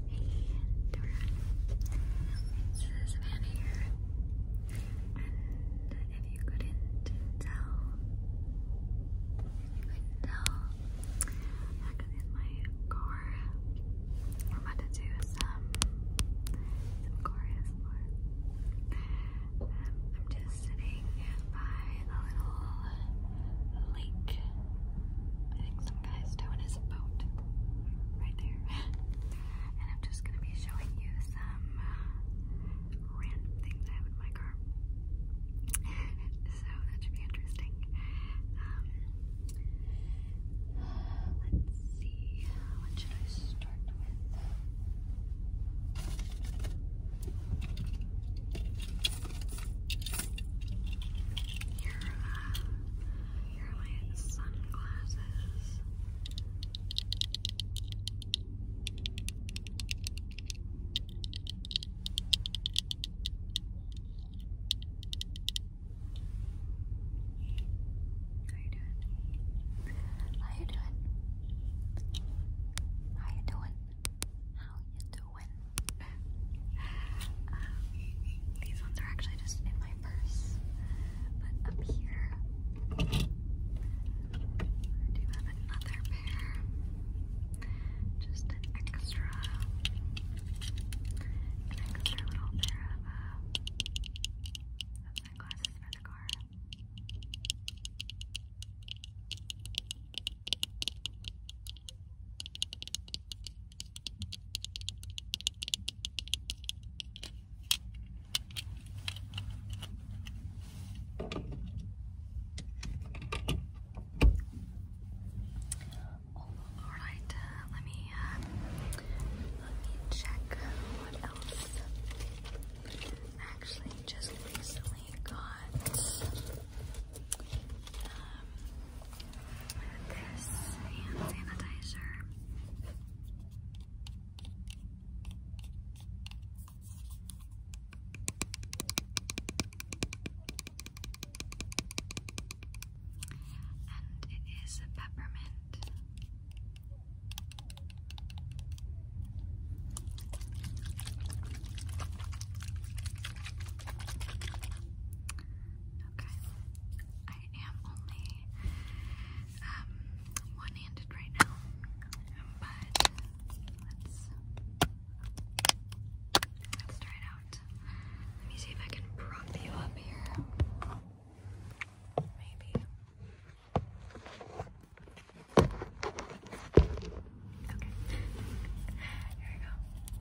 It's Savannah here, and if you couldn't tell, if you couldn't tell, I got in my car. I'm about to do some, some car I'm just sitting by a little lake. I think guys, Dawn is boat right there. and I'm just going to be showing you some uh, random things I have in my car. so that should be interesting. Um, let's see, what should I start with? Here, uh, here are sunglasses. How you doing? How you doing? How you doing? How you doing? win. um, these ones are actually just in my purse, but up here I do have another pair, just an extra, extra little pair of, uh, sunglasses for the car. All right, uh, let me uh, let me check what else. actually just recently got um, this hand sanitizer. And it is peppermint. Okay. I am only um, one-handed right now, but let's let's try it out. Let me see if I can prop you up here. Maybe. Okay. Here we go.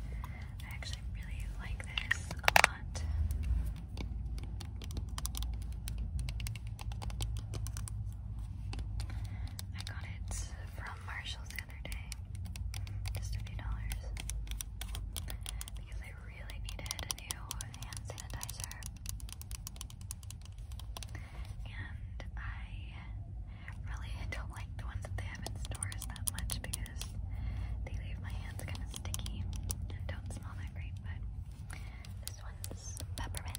I actually really like this a lot. I got it from Marshalls the other day. Just a few dollars. Because I really needed a new hand sanitizer. And I really don't like the ones that they have in stores that much because they leave my hands kind of sticky and don't smell that great, but this one's peppermint.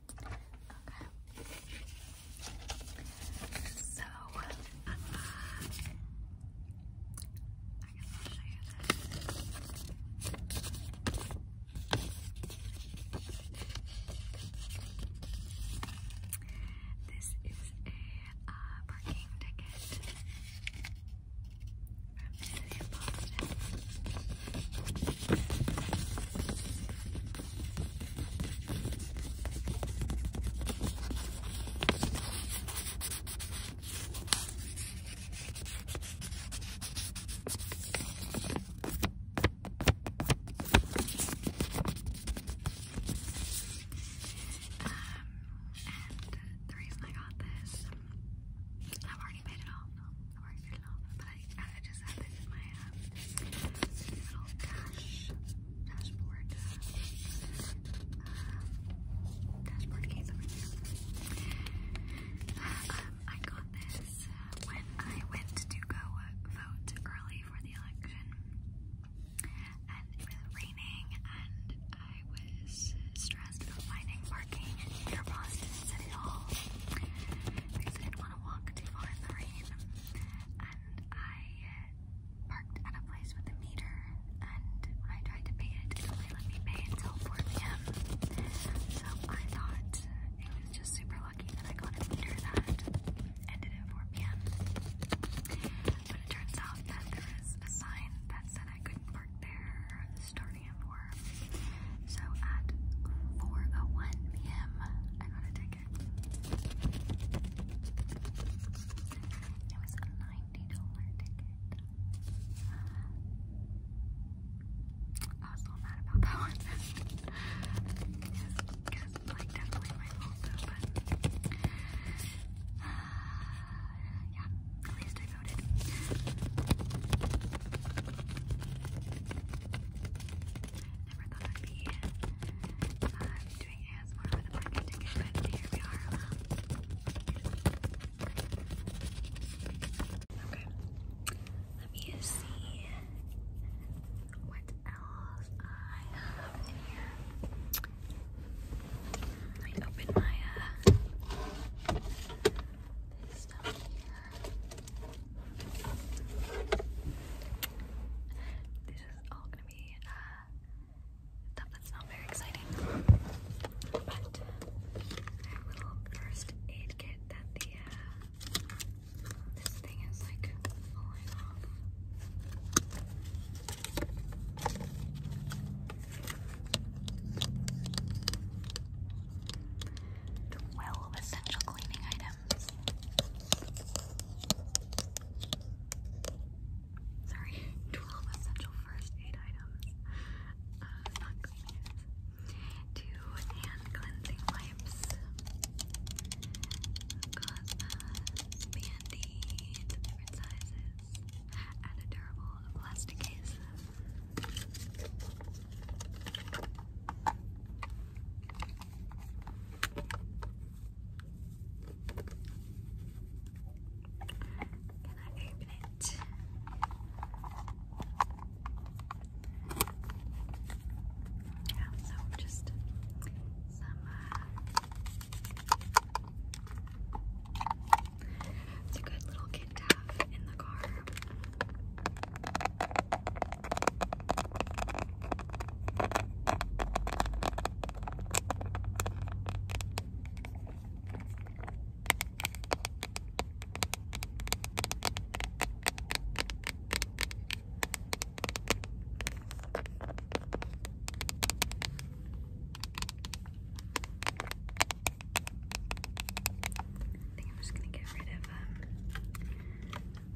Okay. So, uh, I guess show you this. This is a uh, parking ticket from city of um, and the reason I got this, I've already paid it off, I've already paid it off, but I I got this uh, when I went to go uh, vote early for the election, and it was raining, and I was stressed about finding parking near Boston City Hall because I didn't want to walk too far in the rain. I parked at a place with a meter and when I tried to pay it, it only let me pay until 4 p.m. So I thought it was just super lucky that I got a meter that ended at 4 p.m. But it turns out that there was a sign that said I couldn't park there starting at 4. So at 4.01 p.m. I got a ticket ticket. It was a ninety dollar ticket. I was so mad about that one. Uh, yeah, at least I voted. I'd be uh, doing ASMR with a parking ticket, but here we are. Um, okay, let me see what else I have in here. Let me open my uh, this is all gonna be uh, stuff that's not very exciting. But I little first aid kit that uh, this thing is like falling off. Twelve essential cleaning items. Sorry, 12 essential first aid items. Uh, Two hand cleansing wipes. Got a uh, band different sizes. And a durable plastic case. Can I open it? Yeah, so just some uh, it's a good little kit to have in the car. I think I'm just gonna get rid of um, I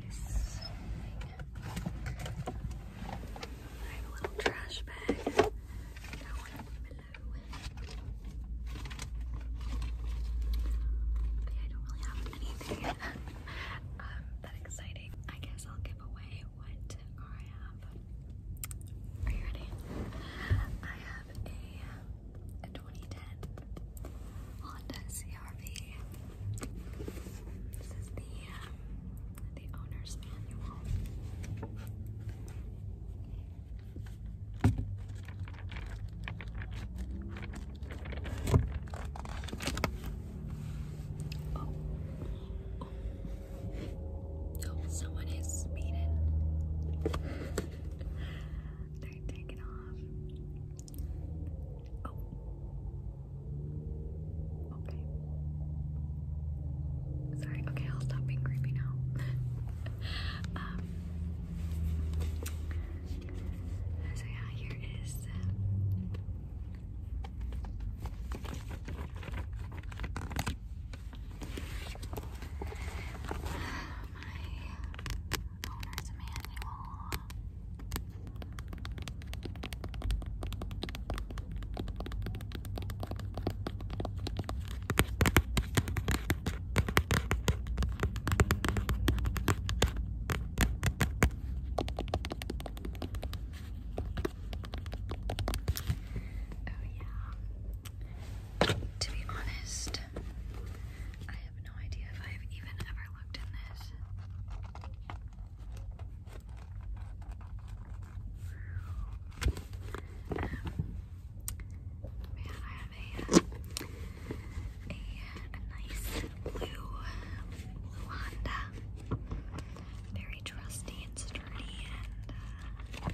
have a little trash bag I don't really have anything that exciting. I guess I'll give away what I have. Are you ready? I have a a 2010 Honda CRV. This is the um, the owner's manual. Oh. oh, oh someone is speeding. They're taking off. Oh. Okay. Sorry, okay, I'll stop being creepy now. um, so, yeah, here is. Uh, my owner's manual. Oh, yeah. To be honest, have no idea if I've even ever looked in this. Um, man, I have a, a, nice blue, blue Honda. Very trusty and sturdy and uh,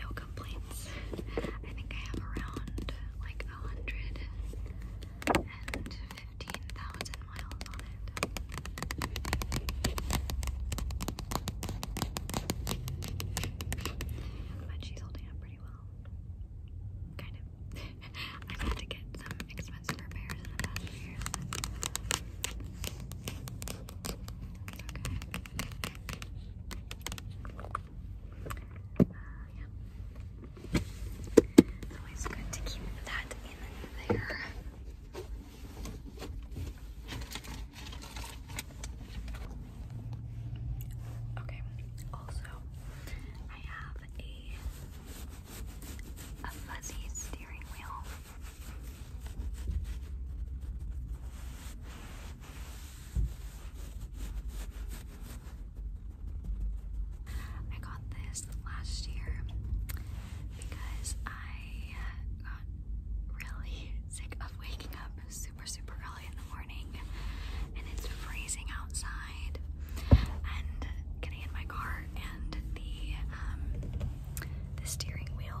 no complaints. I think I have around like a hundred and fifteen thousand miles on it. But she's holding up pretty well. Kind of. I've to get some expensive repairs in the past years, but it's okay. It's always good to keep that in there. Okay, also, I have a, a fuzzy steering wheel. I got this last year because I got really sick of waking up super, super early in the morning and it's freezing outside and getting in my car and the, um, The steering wheel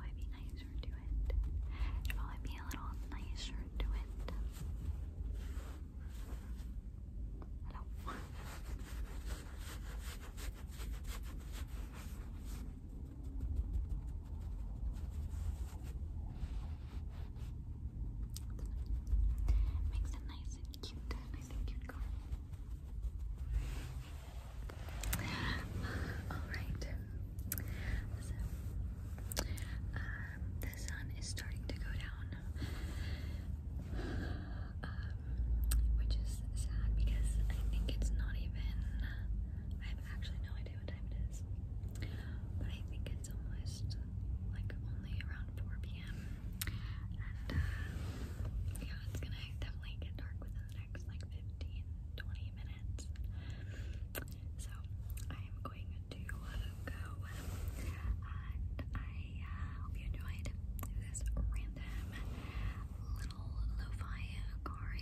probably be nicer to it. It'd probably be a little nicer to it. Makes it nice and cute, nice and cute Alright, so um, the sun is starting to go down, um, which is sad because I think it's not even, I have actually no idea what time it is, but I think it's almost like only around 4 p.m. And uh, yeah, it's gonna definitely get dark within next like 15, 20 minutes. So I'm going to uh, go, um, I uh, hope you enjoyed this random little lo-fi car I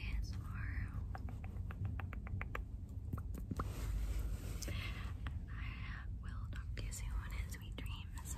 will talk to you soon. Sweet dreams.